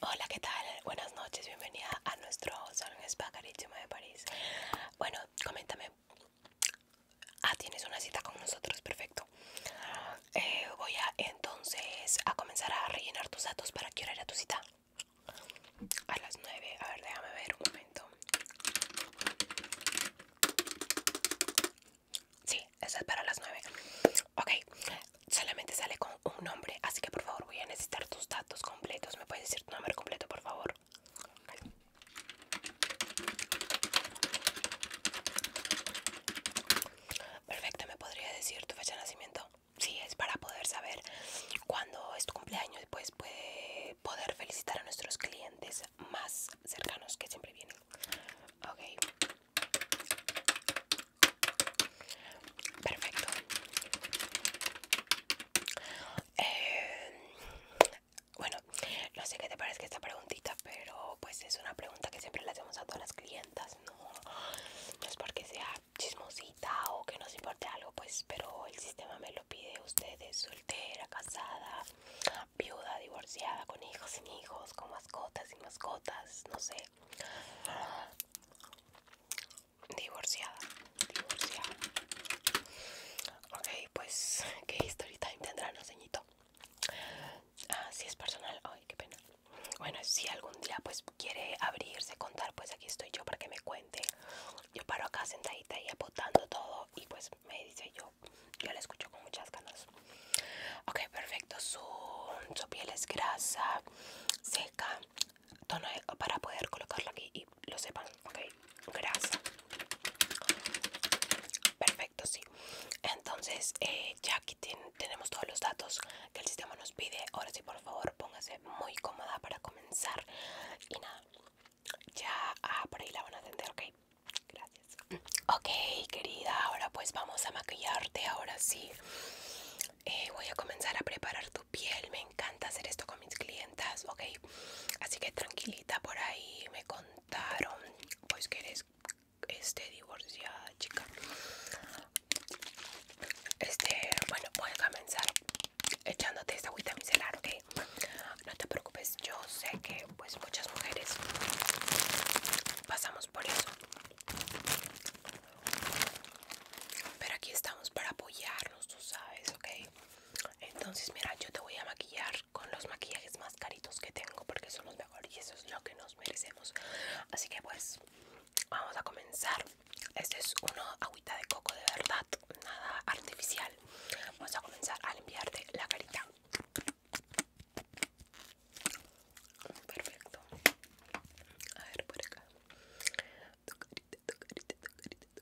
Hola, ¿qué tal? Buenas noches, bienvenida a nuestro salón spa carísimo de París. Bueno, coméntame. Ah, tienes una cita con nosotros, perfecto. Eh, voy a entonces a comenzar a rellenar tus datos. ¿Para que hora a tu cita? A las 9. A ver, déjame ver un momento. Sí, esa es para las 9. Ok, solamente sale con un nombre, así que por favor voy a necesitar tus datos completos. ¿Me puedes decir tu nombre completo, por favor? Perfecto, ¿me podría decir tu fecha de nacimiento? Sí, es para poder saber cuándo es tu cumpleaños y pues poder felicitar a nuestros clientes más cercanos que siempre vienen. Ok. Perfecto. Eh, bueno, no sé qué te parece esta preguntita, pero pues es una pregunta que siempre le hacemos a todas las clientas, ¿no? No es porque sea chismosita o que nos importe algo, pues, pero el sistema me lo pide. ustedes soltera, casada, viuda, divorciada, con hijos, sin hijos, con mascotas, sin mascotas, no sé. Divorciada, divorciada. Ok, pues, ¿qué historia time tendrán, señitos Ah, si es personal, ay, qué pena. Bueno, si algún día pues quiere abrirse, contar, pues aquí estoy yo para que me cuente. Yo paro acá sentadita y apotando todo y pues me dice yo, yo la escucho con muchas ganas. Ok, perfecto, su, piel es grasa, seca, tono para poder colocarlo aquí y lo sepan, ok, grasa. Perfecto, sí. Entonces, eh, ya aquí tenemos todos los datos que el sistema nos pide. Ahora sí, por favor, póngase muy cómoda para comenzar. Y nada, ya ah, por ahí la van a atender, ok. Gracias. Ok, querida, ahora pues vamos a maquillarte, ahora sí. Eh, voy a comenzar a preparar tu piel, me encanta hacer esto con mis clientas, ok. Así que tranquilita por ahí, me contaron, pues que eres este, divorciada, chica. Este, bueno, voy a comenzar echándote esta agüita micelar, ok no te preocupes, yo sé que pues muchas mujeres pasamos por eso. Pero aquí estamos para apoyarnos, tú sabes, ¿ok? Entonces, mira, yo te voy a maquillar con los maquillajes más caritos que tengo porque son los mejores y eso es lo que nos merecemos. Así que pues, vamos a comenzar. Este es una agüita de coco de verdad, nada artificial. Vamos a comenzar a limpiarte la carita. Perfecto. A ver por acá. Tu carita, tu carita, tu carita, tu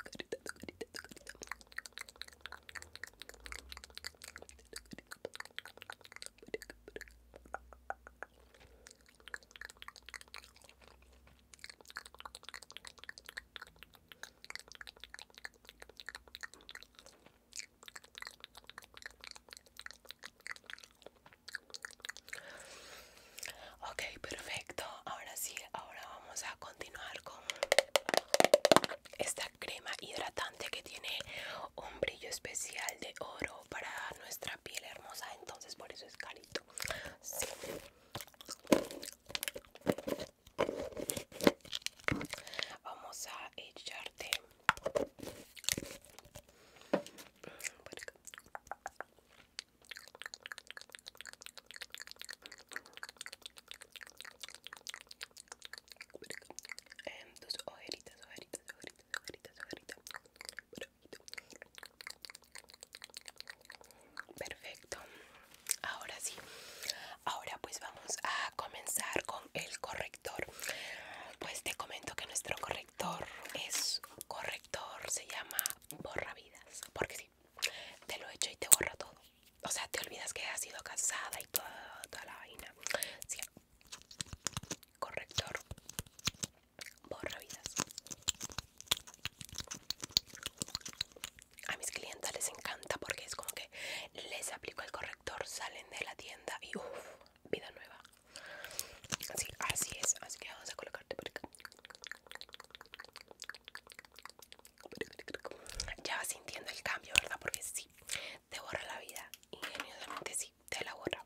carita, tu carita, tu carita. Ok, perfecto. Ahora sí, ahora vamos a continuar con esta crema hidratante que tiene un brillo especial de oro para nuestra piel hermosa. Entonces, por eso es carito. Sí. Vamos a echarte por acá. Por acá. En tus ojeritas, ojeritas, ojeritas, ojeritas, ojeritas. Perfecto. Ahora sí. Ahora pues vamos a comenzar con el corrector. Pues te comento que nuestro corrector es corrector, se llama borra vidas porque sí, te lo echo y te borra todo. O sea, te olvidas que has sido casada y toda, la vaina. corrector borra vidas a mis clientes les encanta porque es como que les aplico el corrector, salen de la tienda y uff, vida nueva. Así, es, así que vamos a colocarte por acá. Ya vas sintiendo el cambio, ¿verdad? Porque sí, te borra la vida. Ingeniosamente sí, te la borra.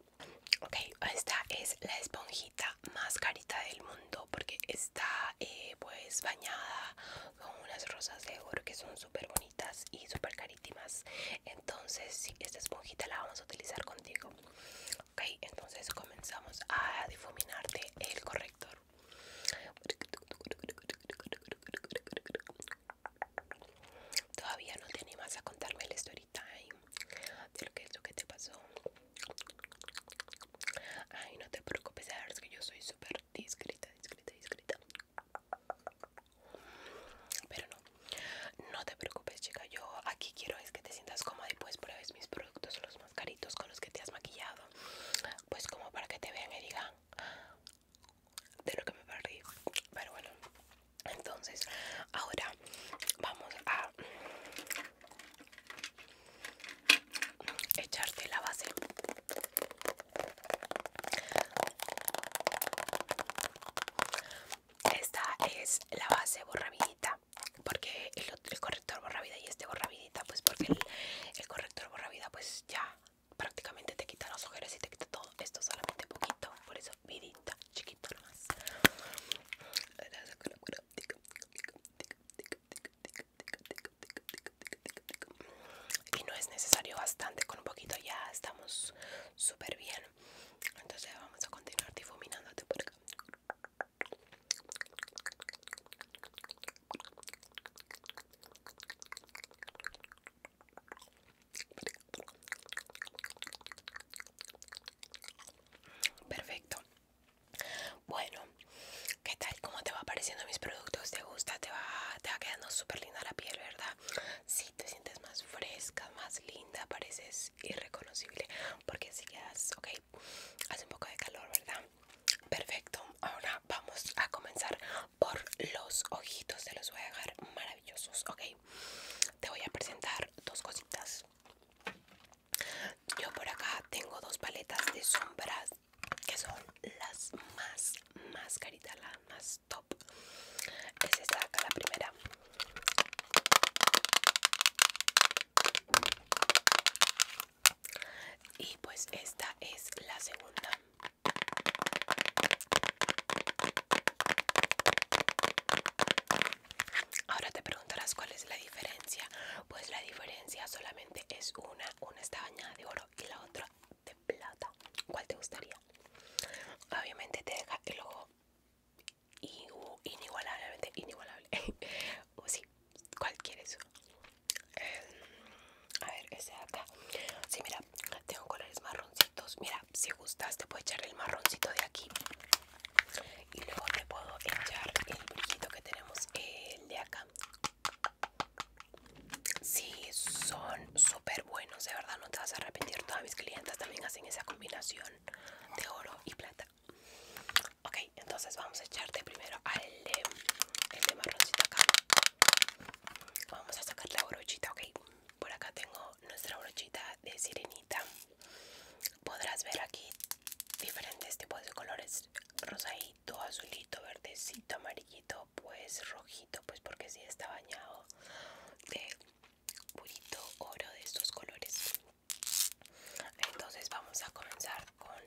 Ok, esta es la esponjita más carita del mundo porque está eh, pues bañada con unas rosas de oro que son súper bonitas y súper carítimas. Entonces, esta esponjita la vamos a utilizar contigo. Ok, entonces comenzamos a difuminarte el corrector. Todavía no te más a contarme el story time ¿eh? de lo que, es lo que te pasó. Ay, no te preocupes, sabes que yo soy súper discreta, discreta, discreta. Pero no, no te preocupes, chica. Yo aquí quiero es que te sientas cómoda y pues pruebes mis productos, los mascaritos con los que te has maquillado. Pues como para que te vean y digan de lo que me perdí. Pero bueno, entonces ahora vamos a echarte la base esta es la base borravidita porque el, el corrector vida y este borravidita pues porque el, corrector corrector vida pues ya prácticamente te quita las ojeras y te quita todo esto solamente poquito por eso vidita chiquito nomás y no es necesario bastante con un poquito ya estamos súper bien entonces vamos a continuar difuminando perfecto bueno, ¿qué tal? ¿Cómo te va apareciendo mis productos? ¿Te gusta? ¿Te va, quedando súper linda la piel, verdad? Sí, te sientes más fresca, más linda, pareces irreconocible. Porque si quedas, ok, hace un poco de calor, ¿verdad? Perfecto, ahora vamos a comenzar por los ojitos, te los voy a dejar maravillosos, ok. Te voy a presentar dos cositas. Yo por acá tengo dos paletas de sombras que son las más, más caritas, las más top. Es esta acá la primera. Y pues esta es la segunda. Ahora te preguntarás cuál es la diferencia. Pues la diferencia solamente es una. Una está bañada de oro y la otra de plata. ¿Cuál te gustaría? Obviamente te deja el ojo inigualablemente inigualable. o sí, ¿cuál quieres? Em, a ver, ese acá. Sí, mira, tengo colores marroncitos. Mira, si gustas te puedo echar el marroncito de aquí y luego te puedo echar el brujito que tenemos el de acá si sí, son súper buenos de verdad no te vas a arrepentir todas mis clientas también hacen esa combinación de oro y plata ok entonces vamos a echarte primero al el marroncito acá vamos a sacar la brochita ok por acá tengo nuestra brochita de sirenita podrás ver aquí diferentes tipos de colores rosadito azulito verdecito amarillito pues rojito pues porque si sí está bañado de purito oro de estos colores entonces vamos a comenzar con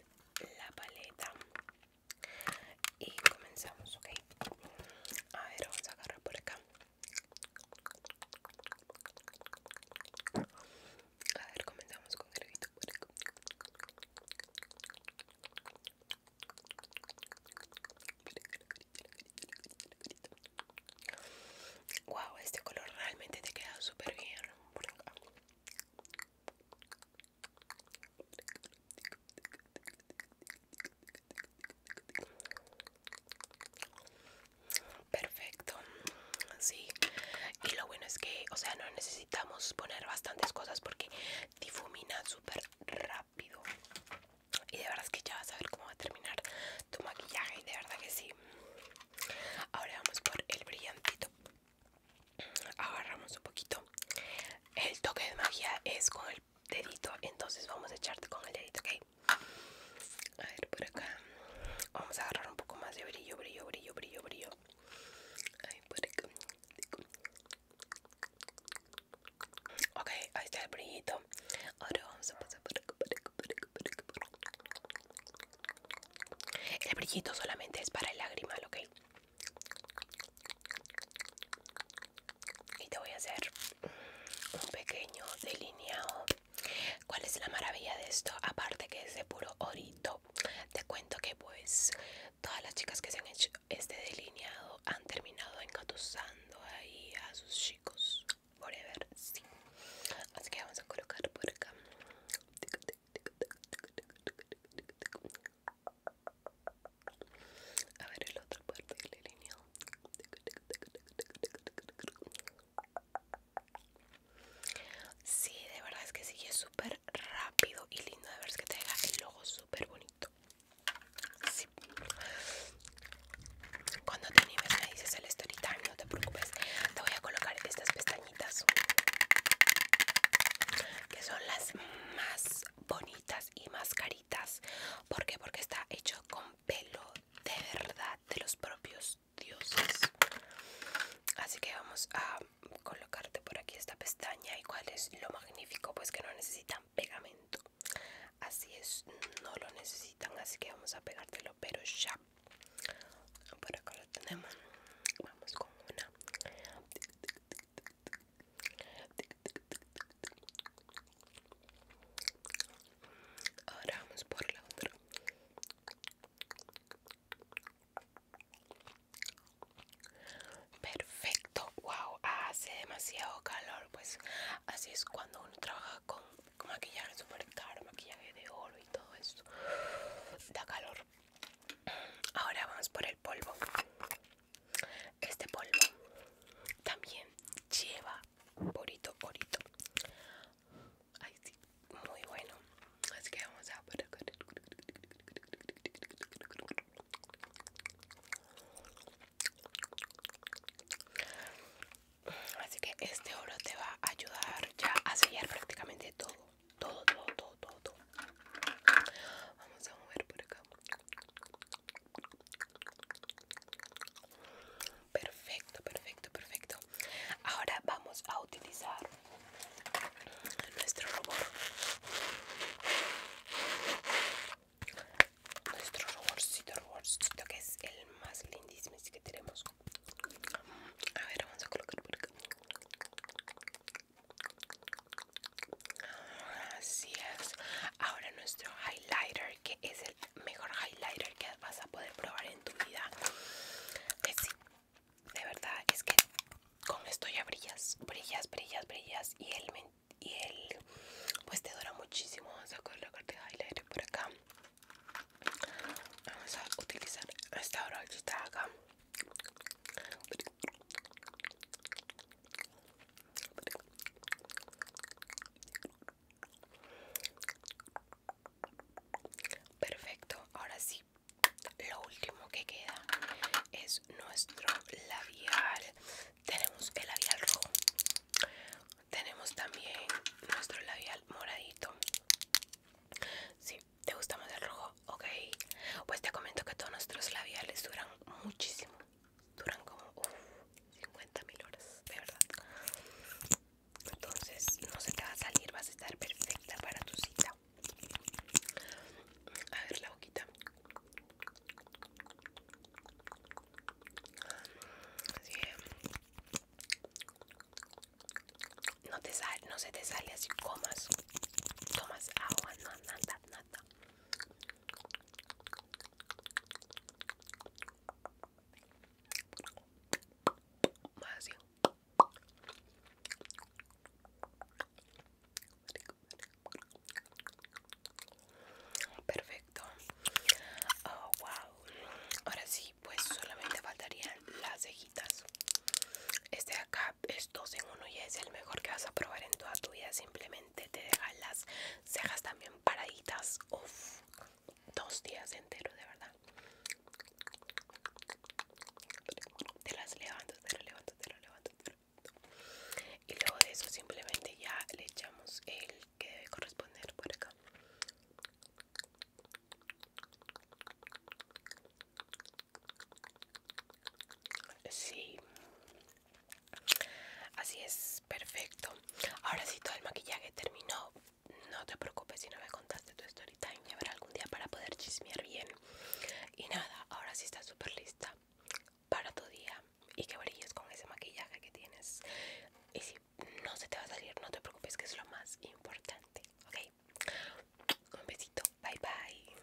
la paleta y comenzamos ok a ver vamos a agarrar por acá a ver, comenzamos con el grito. Wow, este color realmente te queda súper bien. Perfecto, Y lo bueno es que, o sea, no necesitamos poner bastantes cosas porque difumina súper rápido. Y de verdad es que ya vas a ver cómo va a terminar tu maquillaje. De verdad que sí. Ahora vamos por el brillantito. Agarramos un poquito. El toque de magia es con el dedito. Entonces vamos a echarte con el dedito, ¿ok? A ver, por acá. Vamos a agarrar un poco más de brillo, brillo, brillo, brillo, brillo. Ahí por acá. Ok, ahí está el brillito. Ahora vamos a pasar por acá, por acá, por acá, El brillito solamente es para el lágrima ok. Y te voy a hacer un pequeño delineado ¿Cuál es la maravilla de esto? Aparte que es de puro orito. Te cuento que pues todas las chicas que se han hecho este delineado han terminado engatusando ahí a sus chicos. Forever, Así que vamos a colocar por acá. A ver el otro parte del delineado. Sí, de verdad es que sigue súper rápido y lindo de ver es que te deja el logo súper bonito. Sí. Cuando te animes me dices el story time, no te preocupes. Te voy a colocar estas pestañitas que son las más bonitas y más caritas. ¿Por qué? Porque está hecho con pelo de verdad de los propios dioses. Así que vamos a colocarte por aquí esta pestaña y cuál es lo magnífico, pues que no necesitan pegamento. Así es, no lo necesitan, así que vamos a pegártelo, pero ya. Por acá lo tenemos. Vamos con una. Ahora vamos por la otra. Perfecto, wow, hace demasiado calor. Pues así es cuando uno trabaja con, con maquillaje súper caro, maquillaje de oro y todo eso. Da calor. Ahora vamos por el polvo. Este polvo también lleva borito, borito. Ay, sí, muy bueno. Así que vamos a por acá. Así que este oro te va a ayudar ya a sellar prácticamente todo, todo, todo, todo, todo. Vamos a mover por acá. Perfecto, perfecto, perfecto. Ahora vamos a utilizar nuestro rubor. Nuestro ruborcito, ruborcito que es el más lindísimo que tenemos. A ver, vamos a colocar por acá. Así es. Ahora nuestro highlighter que es el mejor highlighter que vas a poder probar en tu vida que de verdad es que con esto ya brillas brillas brillas brillas y el y pues te dura muchísimo vamos a colocarte de highlighter por acá vamos a utilizar esta está acá Perfecto, ahora sí, lo último que queda es nuestro labial. Tenemos el labial rojo, tenemos también nuestro labial moradito. Si sí, te gusta más el rojo, ok. Pues te comento que todos nuestros labiales duran muchísimo duran como uff, 50 mil horas, de verdad. Entonces no se te va a salir, vas a estar perfecta para tu cita. A ver la boquita. Así no, no se te sale así comas. Tomas agua, no, nada, nada. Perfecto. Oh, wow. Ahora sí, pues solamente faltarían las cejitas. Este de acá es dos en uno y es el mejor que vas a probar en toda tu vida. Simplemente te las cejas también paraditas. Uf, dos días enteros, de verdad. Te las levanto, te las levanto, te las levanto, Y luego de eso, simplemente ya le echamos el que debe corresponder por acá. Sí, Así es, perfecto. Ahora sí, todo el maquillaje terminó. No te preocupes si no me contaste tu story time. habrá algún día para poder chismear bien. Y nada, ahora sí estás súper lista para tu día. Y que brilles con ese maquillaje que tienes. Y si no se te va a salir, no te preocupes, que es lo más importante. Ok, un besito. Bye bye.